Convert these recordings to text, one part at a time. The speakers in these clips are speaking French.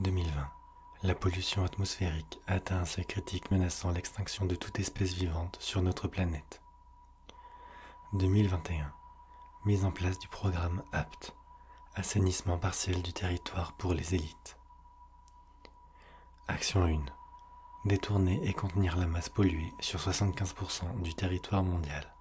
2020. La pollution atmosphérique atteint un seuil critique menaçant l'extinction de toute espèce vivante sur notre planète. 2021. Mise en place du programme APT. Assainissement partiel du territoire pour les élites. Action 1. Détourner et contenir la masse polluée sur 75% du territoire mondial.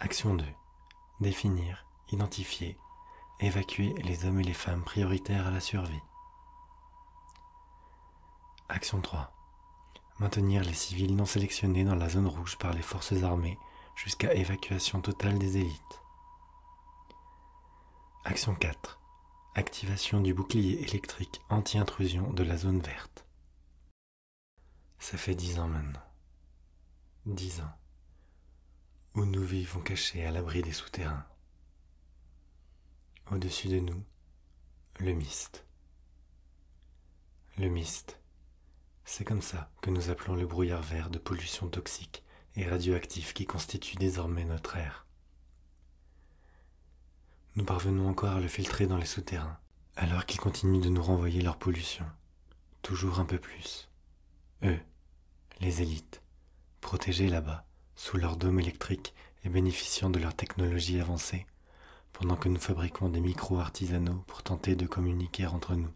Action 2. Définir, identifier, évacuer les hommes et les femmes prioritaires à la survie. Action 3. Maintenir les civils non sélectionnés dans la zone rouge par les forces armées jusqu'à évacuation totale des élites. Action 4. Activation du bouclier électrique anti-intrusion de la zone verte. Ça fait dix ans maintenant. Dix ans. Où nous vivons cachés à l'abri des souterrains. Au-dessus de nous, le mist. Le mist. C'est comme ça que nous appelons le brouillard vert de pollution toxique et radioactive qui constitue désormais notre air. Nous parvenons encore à le filtrer dans les souterrains, alors qu'ils continuent de nous renvoyer leur pollution. Toujours un peu plus. Eux, les élites, protégés là-bas, sous leur dôme électrique et bénéficiant de leur technologie avancée, pendant que nous fabriquons des micros artisanaux pour tenter de communiquer entre nous.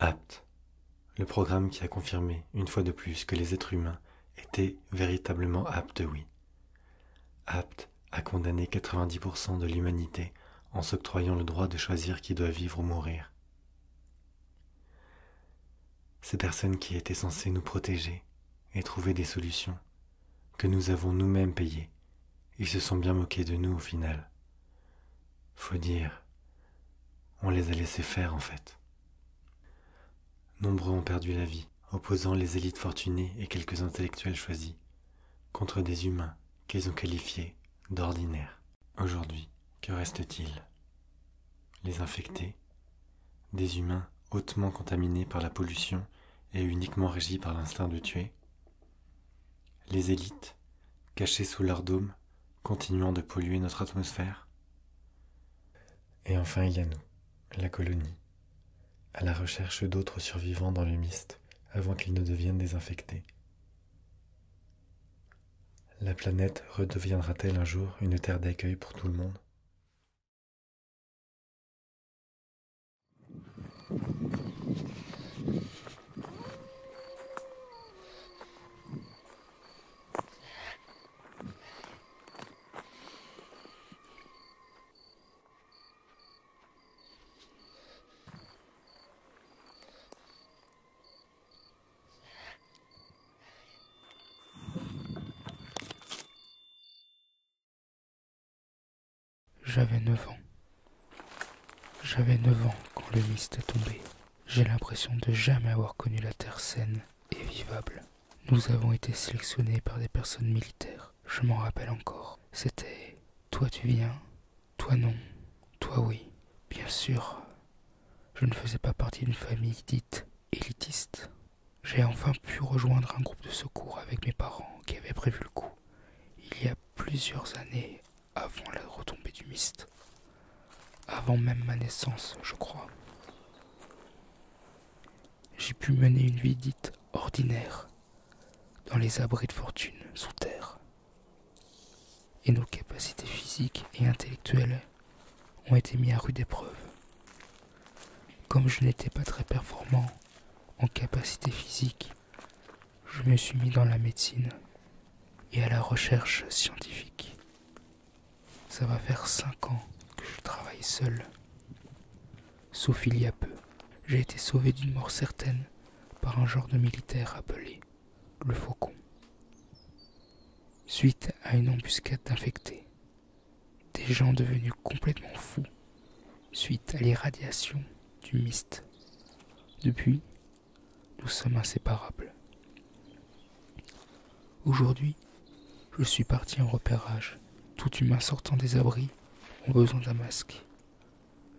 Apt. le programme qui a confirmé, une fois de plus, que les êtres humains étaient véritablement aptes, oui. Apte à condamner 90% de l'humanité en s'octroyant le droit de choisir qui doit vivre ou mourir. Ces personnes qui étaient censées nous protéger et trouver des solutions, que nous avons nous-mêmes payées, ils se sont bien moqués de nous au final. Faut dire, on les a laissés faire en fait. Nombreux ont perdu la vie, opposant les élites fortunées et quelques intellectuels choisis, contre des humains qu'ils ont qualifiés d'ordinaire. Aujourd'hui, que reste-t-il Les infectés, des humains hautement contaminés par la pollution et uniquement régis par l'instinct de tuer, les élites, cachées sous leur dôme, continuant de polluer notre atmosphère. Et enfin, il y a nous, la colonie, à la recherche d'autres survivants dans le miste avant qu'ils ne deviennent désinfectés. La planète redeviendra-t-elle un jour une terre d'accueil pour tout le monde j'avais 9 ans. J'avais 9 ans quand le mist est tombé. J'ai l'impression de jamais avoir connu la terre saine et vivable. Nous avons été sélectionnés par des personnes militaires. Je m'en rappelle encore. C'était toi tu viens, toi non, toi oui, bien sûr. Je ne faisais pas partie d'une famille dite élitiste. J'ai enfin pu rejoindre un groupe de secours avec mes parents qui avaient prévu le coup, il y a plusieurs années avant la retombée du mist. Avant même ma naissance, je crois. J'ai pu mener une vie dite ordinaire, dans les abris de fortune sous terre. Et nos capacités physiques et intellectuelles ont été mises à rude épreuve. Comme je n'étais pas très performant en capacité physique, je me suis mis dans la médecine et à la recherche scientifique. Ça va faire cinq ans que je travaille seul sauf il y a peu. J'ai été sauvé d'une mort certaine par un genre de militaire appelé le Faucon, suite à une embuscade d'infectés. Des gens devenus complètement fous suite à l'irradiation du mist. Depuis, nous sommes inséparables. Aujourd'hui, je suis parti en repérage. Tout humain sortant des abris ont besoin d'un masque.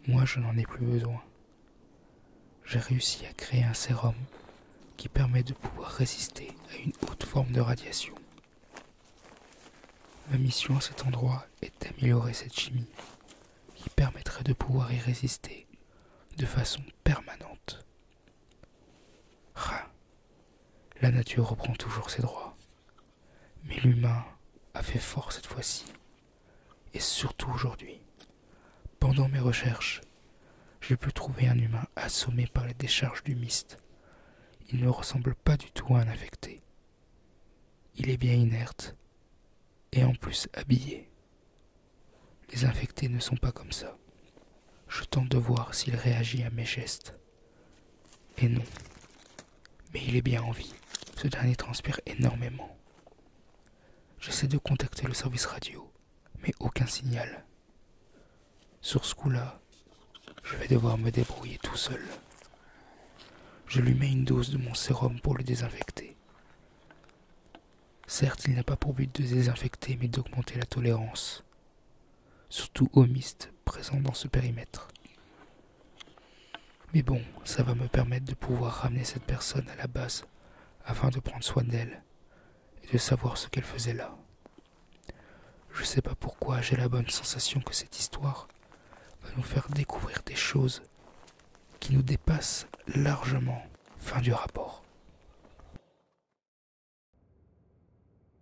Moi, je n'en ai plus besoin. J'ai réussi à créer un sérum qui permet de pouvoir résister à une haute forme de radiation. Ma mission à cet endroit est d'améliorer cette chimie qui permettrait de pouvoir y résister de façon permanente. la nature reprend toujours ses droits. Mais l'humain a fait fort cette fois-ci, et surtout aujourd'hui. Pendant mes recherches, j'ai pu trouver un humain assommé par les décharges du mist. Il ne ressemble pas du tout à un infecté. Il est bien inerte, et en plus habillé. Les infectés ne sont pas comme ça. Je tente de voir s'il réagit à mes gestes. Et non. Mais il est bien en vie. Ce dernier transpire énormément. J'essaie de contacter le service radio, mais aucun signal. Sur ce coup-là, je vais devoir me débrouiller tout seul. Je lui mets une dose de mon sérum pour le désinfecter. Certes, il n'a pas pour but de désinfecter, mais d'augmenter la tolérance, surtout au mist présent dans ce périmètre. Mais bon, ça va me permettre de pouvoir ramener cette personne à la base afin de prendre soin d'elle et de savoir ce qu'elle faisait là. Je sais pas pourquoi j'ai la bonne sensation que cette histoire va nous faire découvrir des choses qui nous dépassent largement. Fin du rapport.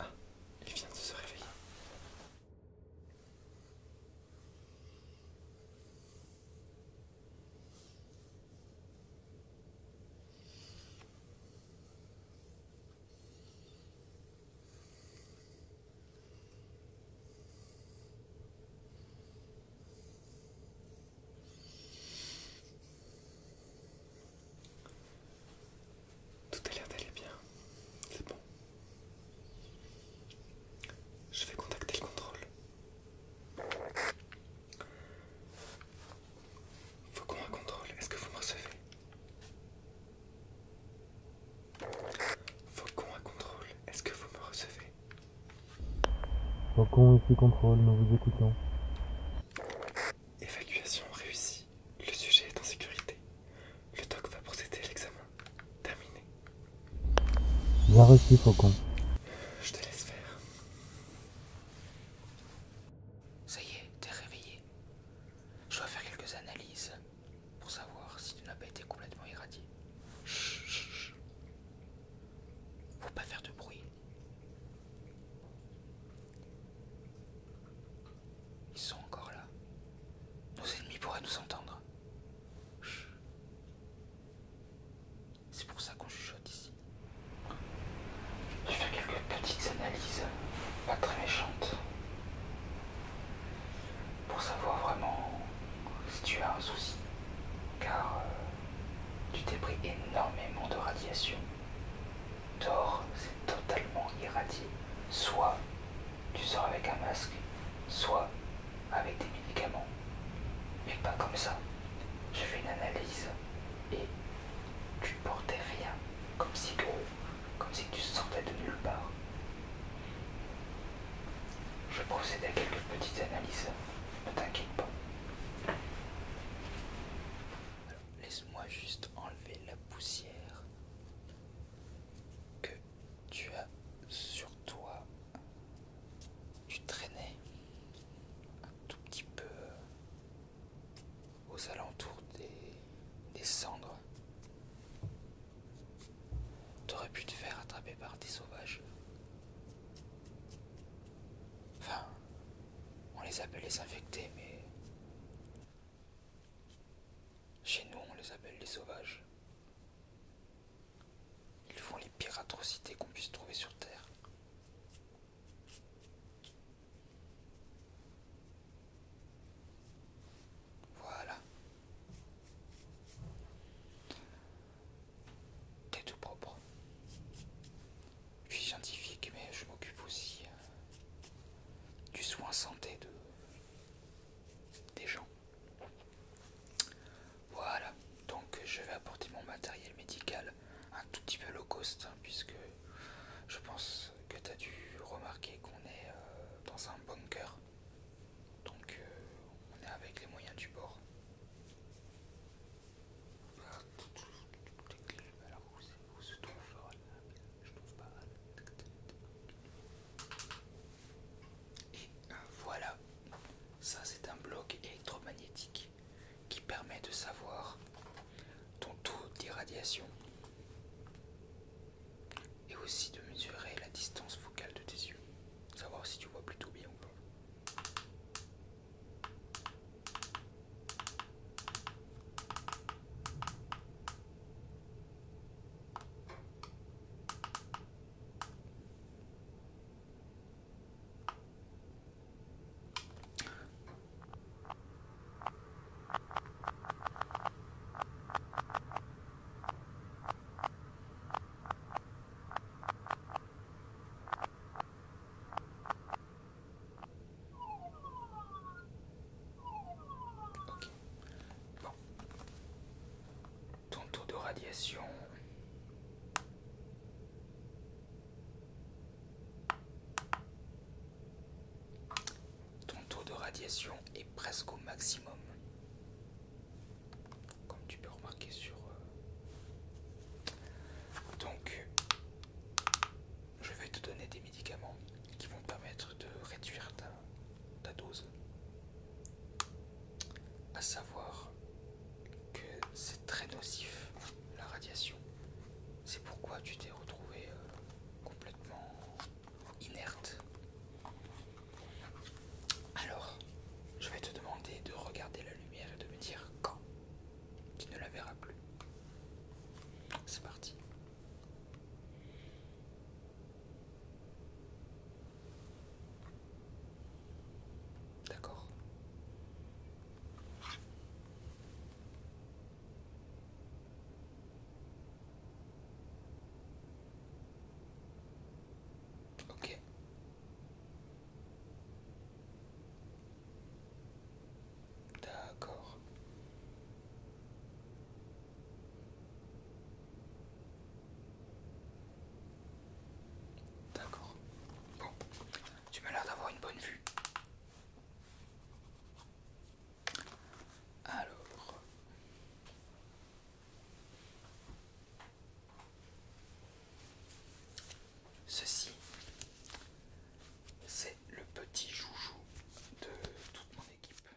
Ah, il vient de se réveiller. Tout a l'air d'aller bien, c'est bon. Je vais contacter le contrôle. Faut qu'on un contrôle, est-ce que vous me recevez Faucon à contrôle, est-ce que vous me recevez Faucon ici contrôle, nous vous écoutons. Évacuation réussie. Le sujet est en sécurité. Le doc va procéder à l'examen. Terminé. Bien reçu, Faucon. Je te laisse faire. Ça y est, t'es réveillé. Je dois faire quelques analyses pour savoir si tu n'as pas été complètement irradié. Chut, Faut pas faire de bruit. Ils sont encore là. Nos ennemis pourraient nous entendre. C'est pour ça qu'on chuchote ici. Je fais quelques petites analyses, pas très méchantes, pour savoir vraiment si tu as un souci, car euh, tu t'es pris énormément de radiation. D'or, c'est totalement irradié. Soit tu sors avec un masque, soit avec des médicaments. Mais pas comme ça. Je fais une analyse et tu tu portais rien, comme si, comme si tu sortais de nulle part. Je procède à quelques petites analyses, ne t'inquiète pas. Laisse-moi juste enlever la poussière que tu as sur toi. Tu traînais un tout petit peu aux alentours des, cendres. T'aurais pu te faire attraper par des sauvages. Enfin, on les appelle les infectés, mais chez nous on les appelle les sauvages. Ils font les pires atrocités qu'on puisse trouver sur Terre. Voilà. T'es tout propre. Je suis scientifique, mais je m'occupe aussi euh, du soin santé de des gens. Voilà, donc je vais apporter mon matériel médical un tout petit peu low cost, hein, puisque je pense que tu as dû remarquer qu'on est euh, dans un bunker, donc euh, on est avec les moyens du bord. Et euh, voilà, ça c'est un bloc électromagnétique qui permet de savoir ton taux d'irradiation et aussi de mesurer la distance focale de tes yeux, savoir si tu vois plutôt bien ou pas. Ton taux de radiation. Ton taux de radiation est presque au maximum. Comme tu peux remarquer sur... Euh, donc, je vais te donner des médicaments qui vont permettre de réduire ta, dose. À savoir que c'est très nocif la radiation. C'est pourquoi tu t'es retrouvé euh, complètement inerte. Alors, je vais te demander de regarder la lumière et de me dire quand tu ne la verras plus. C'est parti. D'accord. Ok. D'accord. D'accord. Bon, tu m'as l'air d'avoir une bonne vue. Alors. Ceci, c'est le petit joujou de toute mon équipe.